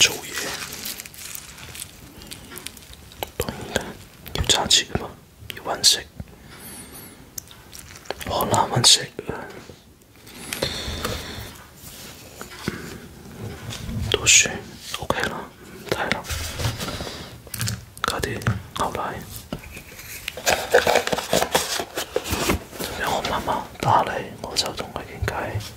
做嘢，等等，要查钱嘛？要温食，我难温食。读书，OK 啦，太难。家啲后来，如果我妈妈打你，我就同佢倾偈。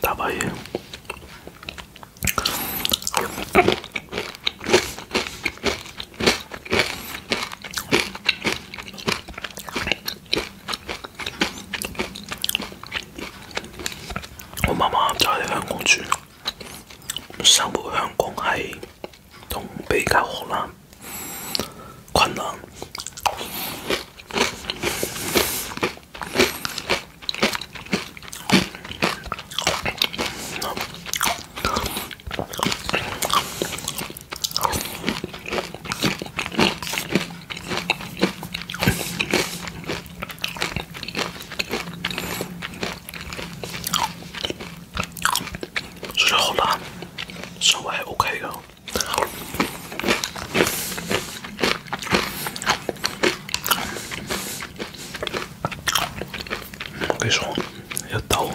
爸爸，我妈妈在香港住，生活香港系都比较困难，困这好辣，稍微 OK 了。我跟你说，要倒。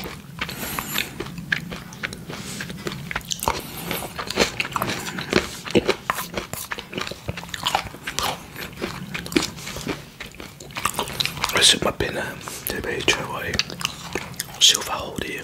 没事，我本来准备吃，我先放好啲。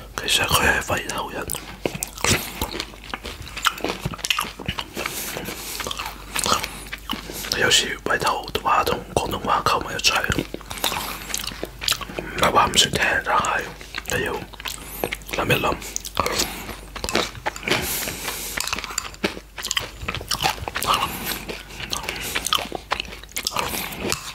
其實佢係廢頭人，有時廢頭話同廣東話溝埋一齊，唔係話唔算聽，但係你要諗一諗。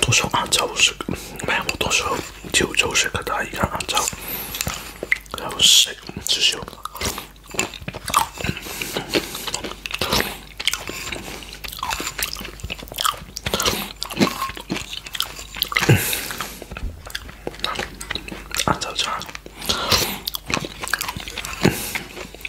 多少照十是？还有多少九周岁，给大家一个按照还有谁？有。按照这样，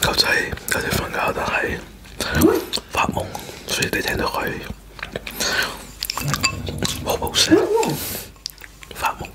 狗仔有啲瞓覺，但係發夢，所以你聽到佢冇聲，發夢。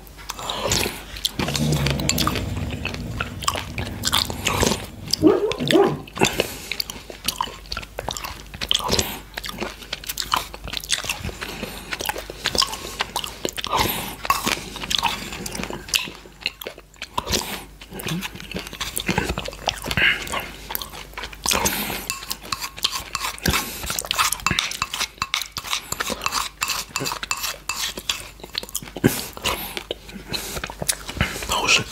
好吃。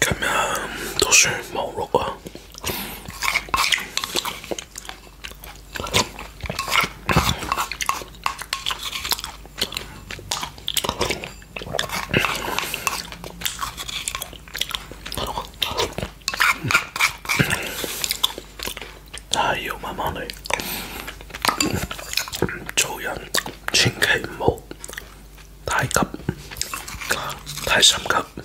今晚读书忙碌啊。系要慢慢嚟，做人千祈唔好太急，太心急。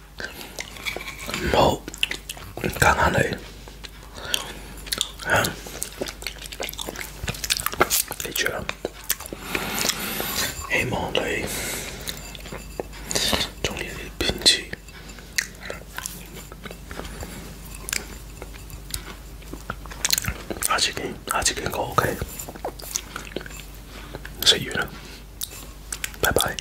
好，讲下你，记住啦，希望你中意呢篇字，再见，再见，好食完啦，拜拜。